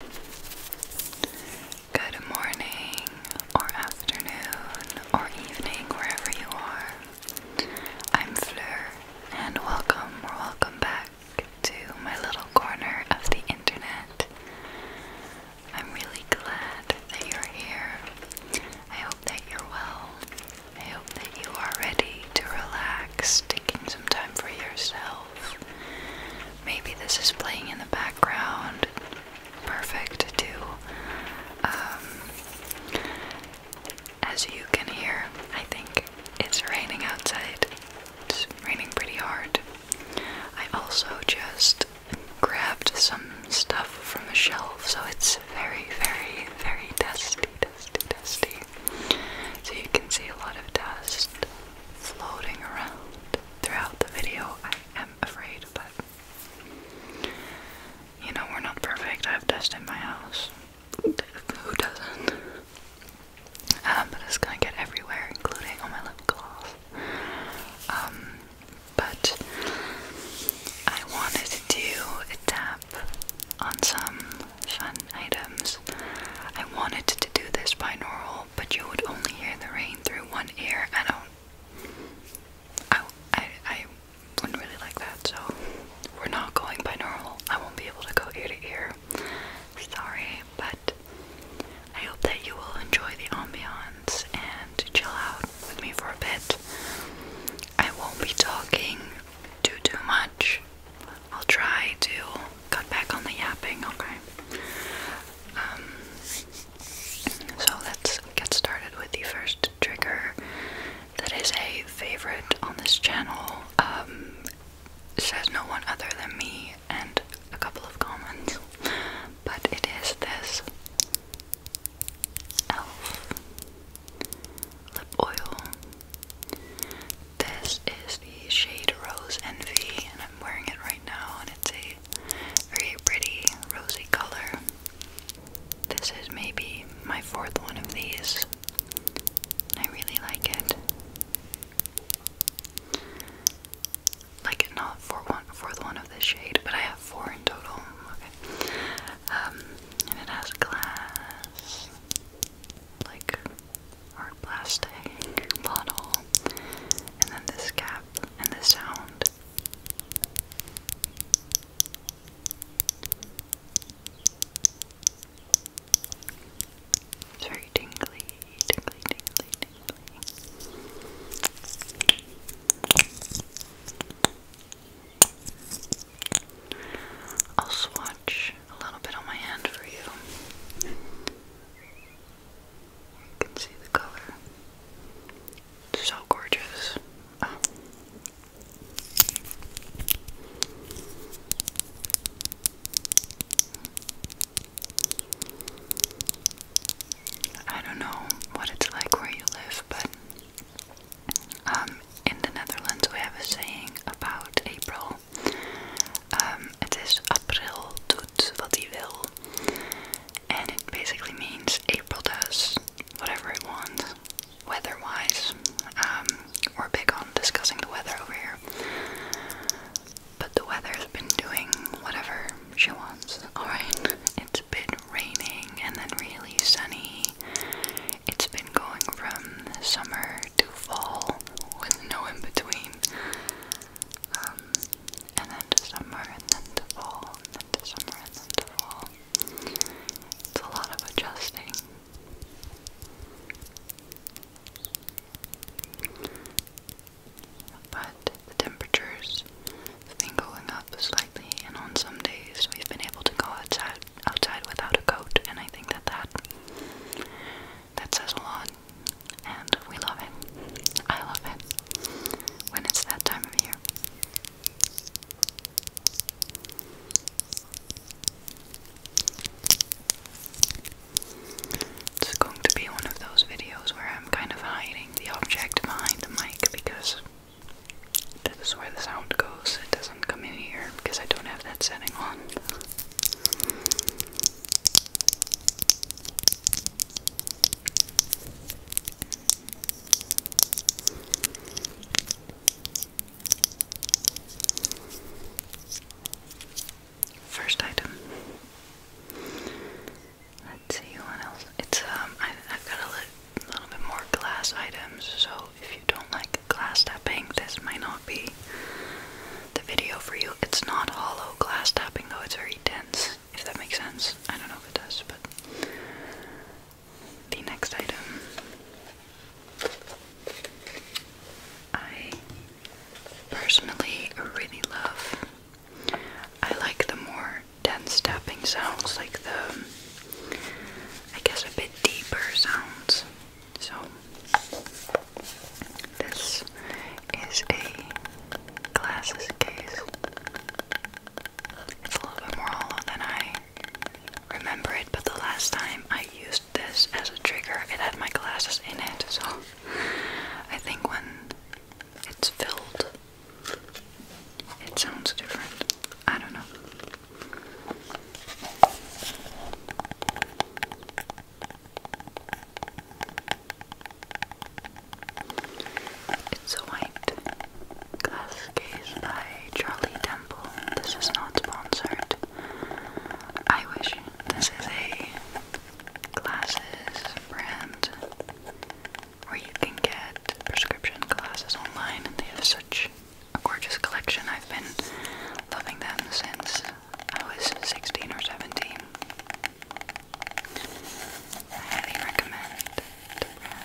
Good morning, or afternoon, or evening, wherever you are. I'm Fleur, and welcome or welcome back to my little corner of the internet. I'm really glad that you're here. I hope that you're well. I hope that you are ready to relax, taking some time for yourself. Maybe this is playing in the background. Perfect too. Um, as you can hear, I think it's raining outside. It's raining pretty hard. I also just grabbed some stuff from a shelf, so it's very, very, very dusty, dusty, dusty. So you can see a lot of dust floating around throughout the video, I am afraid, but you know, we're not perfect. I have dust in my house. Who doesn't? Um, but it's gonna get everywhere, including on my lip gloss. Um, but I wanted to do a tap on some fun items. I wanted to do this binaural but you would only hear the rain through one ear. I don't. I, I, I wouldn't really like that, so we're not going by normal. I won't be able to go ear to ear. Sorry, but I hope that you will enjoy the ambiance and chill out with me for a bit. I won't be talking too too much. I'll try to cut back on the yapping, okay? Um, so let's get started with the first trigger that is a favorite on this channel. Um, says no one other than me and a couple of comments, but it is this elf lip oil. This is the shade Rose Envy, and I'm wearing it right now, and it's a very pretty rosy color. This is maybe my fourth one of these. I really like it. Like not for one fourth one of this shade, but I have four in total. Okay. Um, and it has glass like Hard plastic bottle, and then this cap and the sound. It's very tingly, tingly, tingly. I'll swatch a little bit on my hand for you. You can see the color. So gorgeous. I don't know what it's like where you live, but um, in the Netherlands we have a saying about April it ehm, is het is april doet wat hij wil. And it basically means April does whatever it wants, weather-wise. Ehm, we're big on discussing the weather over here. But the weather's been doing whatever she wants, alright? It's been raining and then really sunny. It's been going from summer to fall with no in between. Um, and then to summer, and then to fall, and then to summer, and then to fall. It's a lot of adjusting. But the temperatures have been going up slightly, and on some days we've been able to go outside without a coat, and I think that that that says a lot, and we love it. I love it when it's that time of year. It's going to be one of those videos where I'm kind of hiding the object behind the mic because this is where the sound goes. It doesn't come in here because I don't have that setting on. First item. Let's see what else. It's um, I, have got a little bit more glass items, so if you don't like glass tapping, this might not be the video for you. It's not hollow glass tapping though, it's very dense, if that makes sense. I don't know if it does, but the next item I personally really love. I like the more dense tapping sounds, like the I guess a bit deeper sounds. So this is a glasses case. It's a little bit more hollow than I remember it, but the last time I used this as a trigger, it had my glasses in it. So I think when it's filled, it sounds different. I don't know. It's a white glass case by Charlie Temple. This is not sponsored. I wish this is a glasses brand where you can get prescription glasses online and they have such a gorgeous collection. I've been loving them since I was 16 or 17. highly recommend the brand.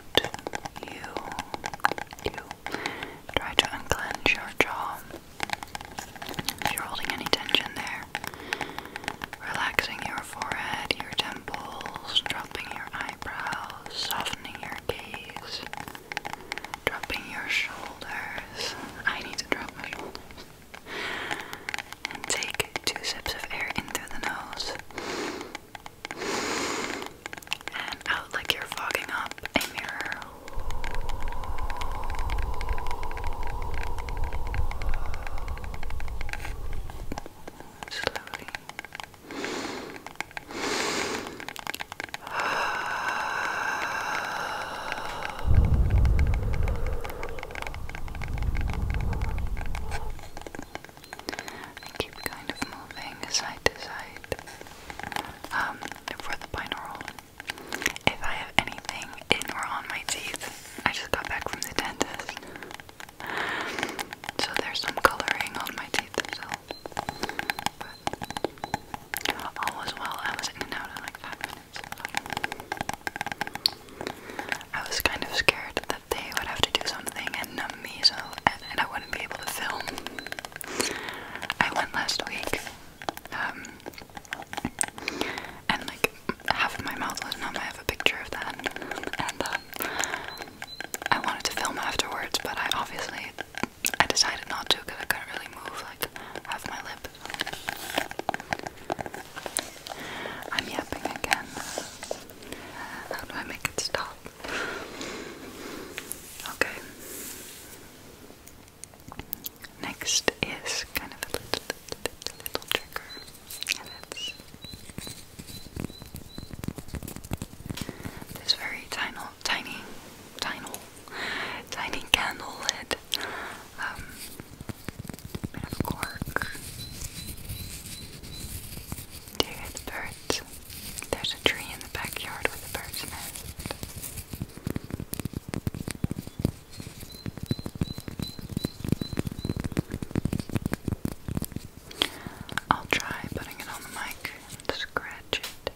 you try to unclench your jaw. If you're holding any tension there, relaxing your forehead, your temples, dropping your eyebrows, softening your gaze, dropping your shoulders. I need to drop my shoulders. And take two sips of air in through the nose and out like you're fogging up a mirror. Slowly. I keep kind of moving side to side um, for the binaural. If I have anything in or on my teeth, I just got back from the dentist. So there's some coloring on my teeth still. all was well. I was in and out in like five minutes. I was kind of scared they would have to do something and numb me so and, I wouldn't be able to film. I went last week, um, and like half of my mouth was numb. I have a picture of that, and um, I wanted to film afterwards, but I obviously I decided not to because I couldn't really move like half my lip. I'm yapping again. How do I make it stop? Okay. Next is kind of a little, little, little trigger, this very tiny, tiny, tiny, tiny candle lid, bit um, of cork. Do you hear the birds? There's a tree in the backyard with a bird's nest. I'll try putting it on the mic and scratch it.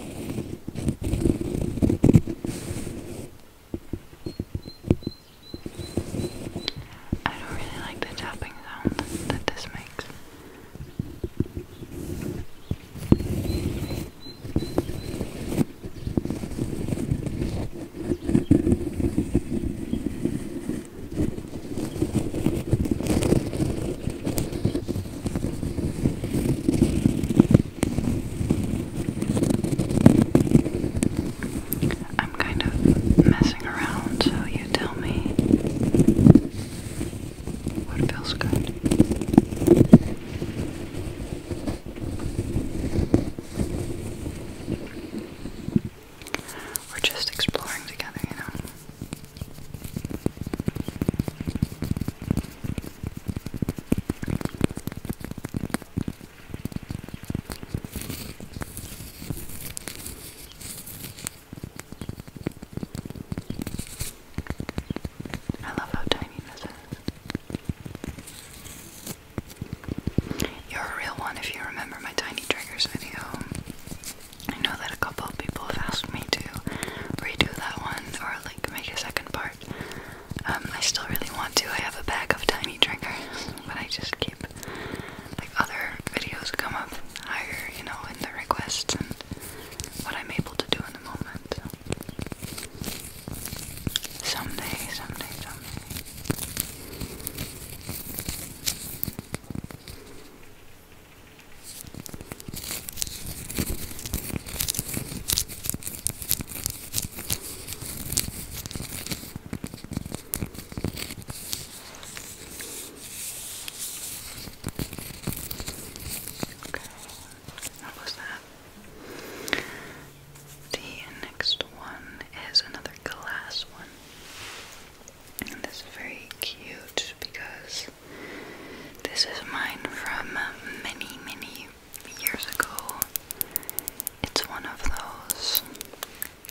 I don't really like the tapping sound that this makes. I'm kind of messing around, so you tell me what feels good. We're just exploring together, you know. I love how tiny this is. You're a real one if you remember my tiny triggers video. I know that a couple of people have asked me to redo that one or like make a second part. Um, I still really want to. I have a bag of tiny triggers, but I just keep like other videos come up higher, you know, in the requests and what I'm able to do in the moment. Someday, someday, someday what was that? The next one is another glass one. And this is very cute because this is mine from many, many years ago. It's one of those.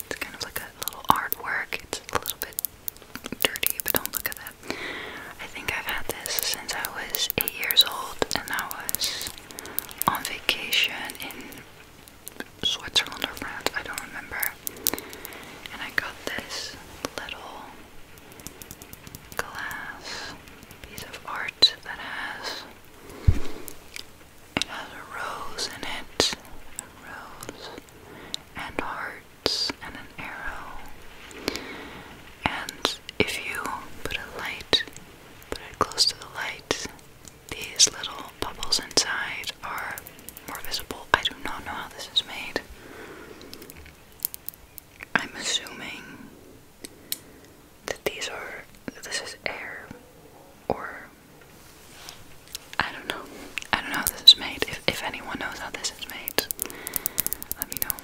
It's kind of like a little artwork. It's a little bit dirty, but don't look at that. I think I've had this since I was eight years old, and I was on vacation in Switzerland or France. I don't remember. And I got this little glass piece of art that has it has a rose in it, a rose and hearts and an arrow. And if you put a light, put it close to the light, these little bubbles inside are more visible. I do not know how this is made. I'm assuming that these are this is air or I don't know. I don't know how this is made. If if anyone knows how this is made, let me know.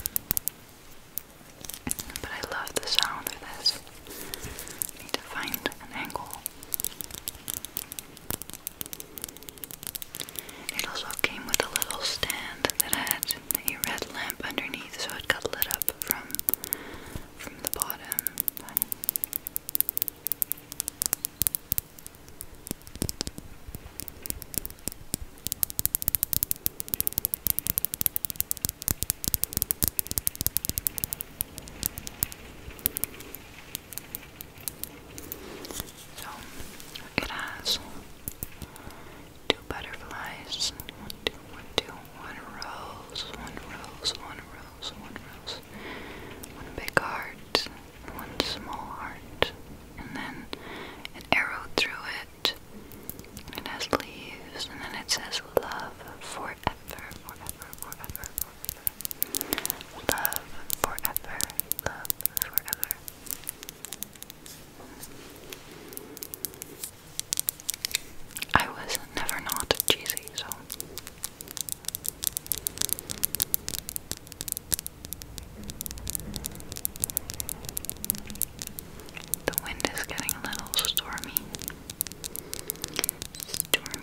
But I love the sound of this. need to find an angle. It also came with a little stand that had a red lamp underneath so it got lit up from from the bottom. So it has two butterflies, one, two, one, two, one rose, one rose, one rose, one rose, one big heart, one small heart, and then an arrow through it. It has leaves, and then it says love forever, forever, forever, forever. Love forever, love forever. I was never not cheesy, so. The wind is getting a little stormy. Stormy.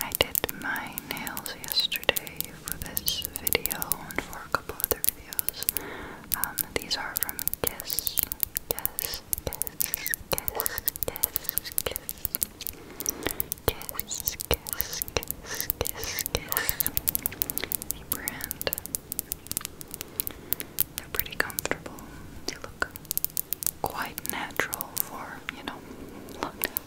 I did my nails yesterday for this video and for a couple other videos. Um, these are from Kiss, Kiss, Kiss, Kiss, Kiss, Kiss, Kiss, Kiss, kiss, kiss, kiss, kiss. brand. They're pretty comfortable. They look quite natural for, you know, lockdown.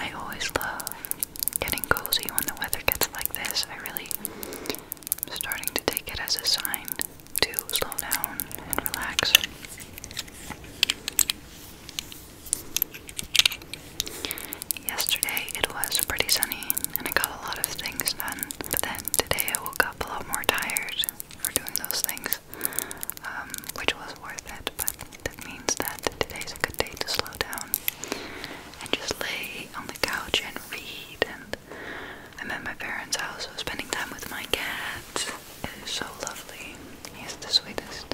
I always love getting cozy when the weather gets like this. I really I'm starting to take it as a sign to slow down and relax. Yesterday it was pretty sunny and I got a lot of things done, but then today I woke up a lot more tired for doing those things, um, which was worth it, but that means that today's a good day to slow down and just lay on the couch and read and I'm at my parents' house, so spending time with my cat It is so lovely. He's the sweetest.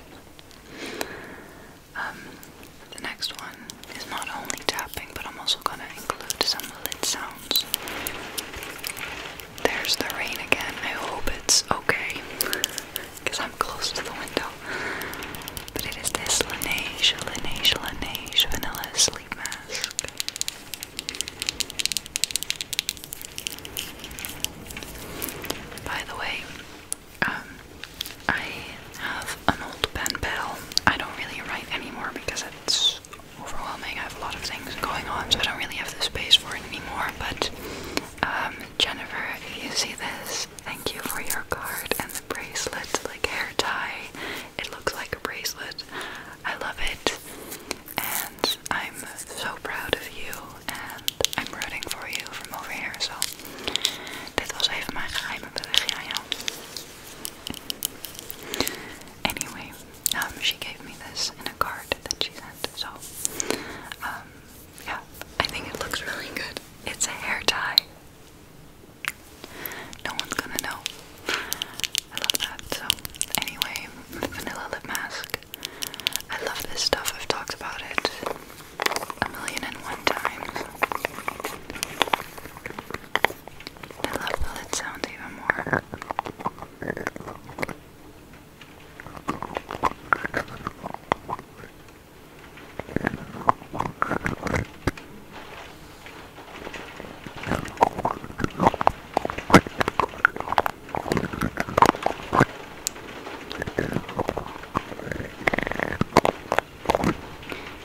Um, the next one is not only tapping, but I'm also gonna include some lid sounds. There's the rain again. I hope it's okay, because I'm close to the window. But it is this Laneige, Laneige, Laneige Vanilla ugly mask. By the way, um, I have an old pen pal. I don't really write anymore because it's overwhelming. I have a lot of things going on, so I don't really have the space for it anymore. But um, Jennifer, you see this? Thank you for your card and the bracelet, like hair tie. It looks like a bracelet. I love it. And I'm so proud of you and I'm rooting for you from over here. So dit was even mijn geheime berichtje aan jou. Anyway, um, she gave me this in a card that she sent. So um, yeah, I think it looks really good. It's a hair tie. No one's gonna know. I love that. So, anyway, vanilla lip mask. I love this stuff. I've talked about it a million and one times. I love how it sounds even more.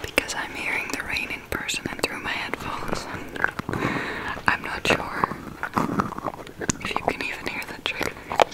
Because I'm hearing the rain in person and through my headphones, I'm not sure if you can even hear the triggers.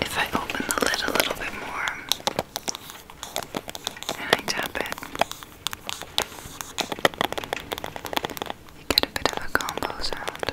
If I open the lid a little bit more and I tap it, you get a bit of a combo sound.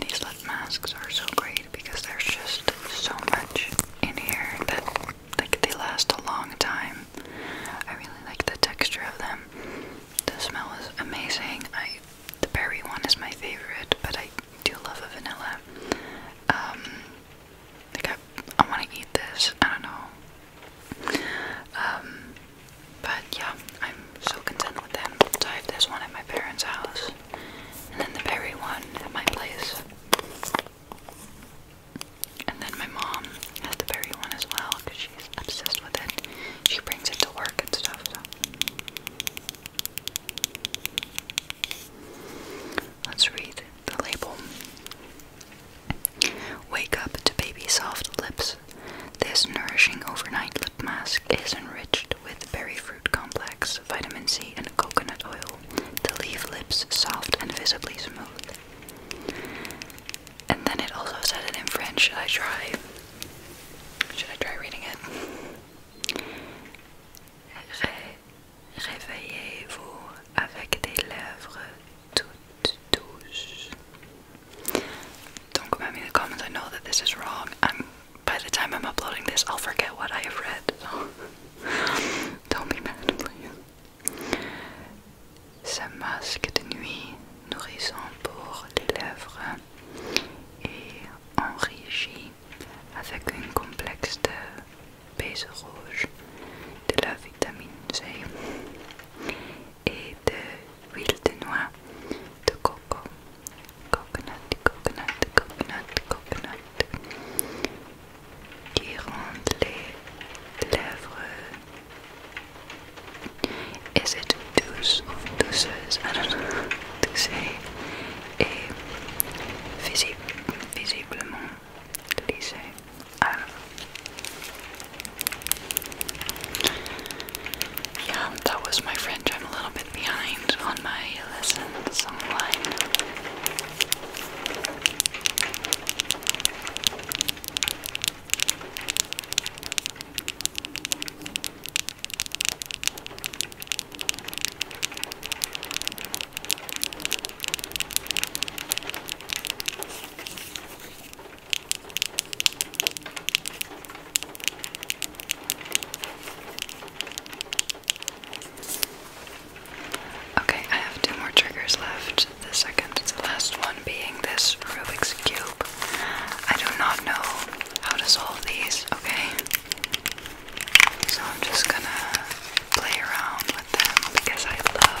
these lip masks are so great because there's just so much in here that like they last a long time. I really like the texture of them. The smell is amazing. the berry one is my favorite, but I do love a vanilla. Um, like I, I want to eat this. I don't know. Um, but yeah, I'm so content with them. So I have this one at my parents' house, and then the berry one at my place. And then my mom has the berry one as well because she's obsessed with it. She brings it to work and stuff. Let's read the label. Wake up to baby soft lips this nourishing overnight lip mask is enriched with berry fruit complex, vitamin C, and coconut oil to leave lips soft and visibly smooth. And then it also said it in French. Should I try? Should I try reading it? Réveillez-vous avec des lèvres toutes douces. Don't come at me in the comments, I know that this is wrong. I'm by the time I'm uploading this I'll forget what I have read, don't be mad, please. Sa masque de nuit, nourrissant pour les lèvres, et enrichi avec un complexe de baies de la vitamine C et de huile de noix de coco. Coconut, coconut, coconut, coconut. Qui rendent les lèvres. Is douce of douceuse? I ah don't know. Douce et visiblement lissé. Ah. Yeah, that was my friend. I'm a little bit behind on my lesson online. Okay, I have two more triggers left. The second to last one being this Rubik's Cube. I do not know how to solve these, okay? So I'm just gonna play around with them because I love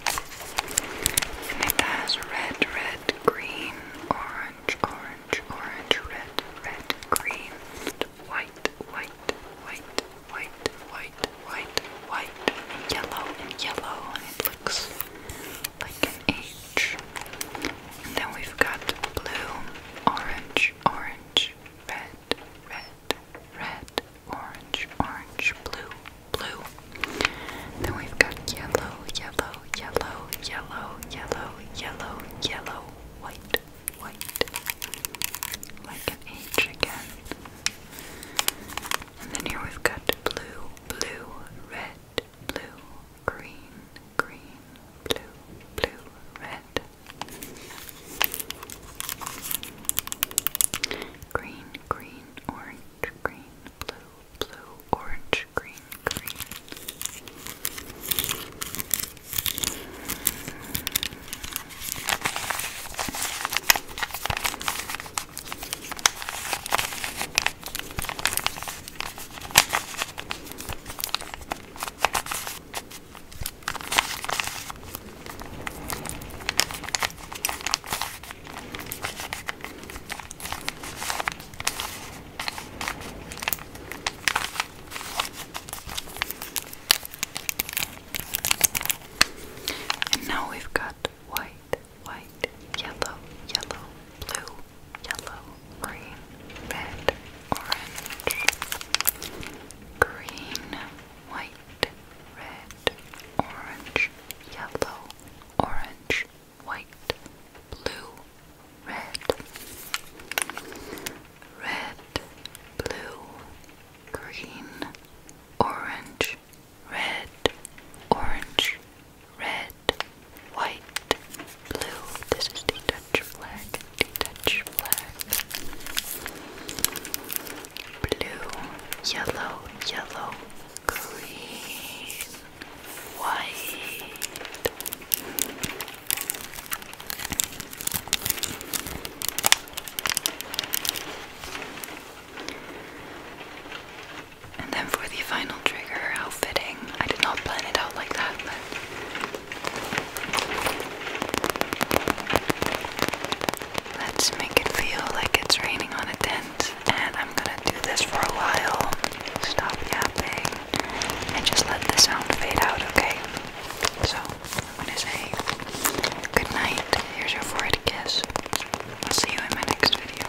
It has red, red, green, orange, orange, orange, red, red, green, white, white, white, white, white, white, white, and yellow, yellow, and it looks like an H. And then we've got blue, orange, orange, red, red, red, orange, orange, blue, blue. Then we've got yellow, yellow, yellow, yellow, yellow, yellow, yellow, white, white. Like an H again. And then here we've got blue, blue, red, blue, green, green, blue, blue, red. Green, green, orange, green, blue, blue, orange, green, green. And now we've got white, white, yellow, yellow, blue, yellow, green, red, orange, green, white, red, orange, yellow, orange, white, blue, red, red, blue, green, orange, red, orange, red, white, blue. This is the Dutch flag, the Dutch flag. Blue, yellow, yellow, green, white. And then for the final trigger, how I did not plan it out like that, Let's make it feel like it's raining on a tent and I'm gonna do this for a while. Stop yapping and just let the sound fade out, okay? So, I'm gonna say good night. Here's your forehead kiss. I'll see you in my next video.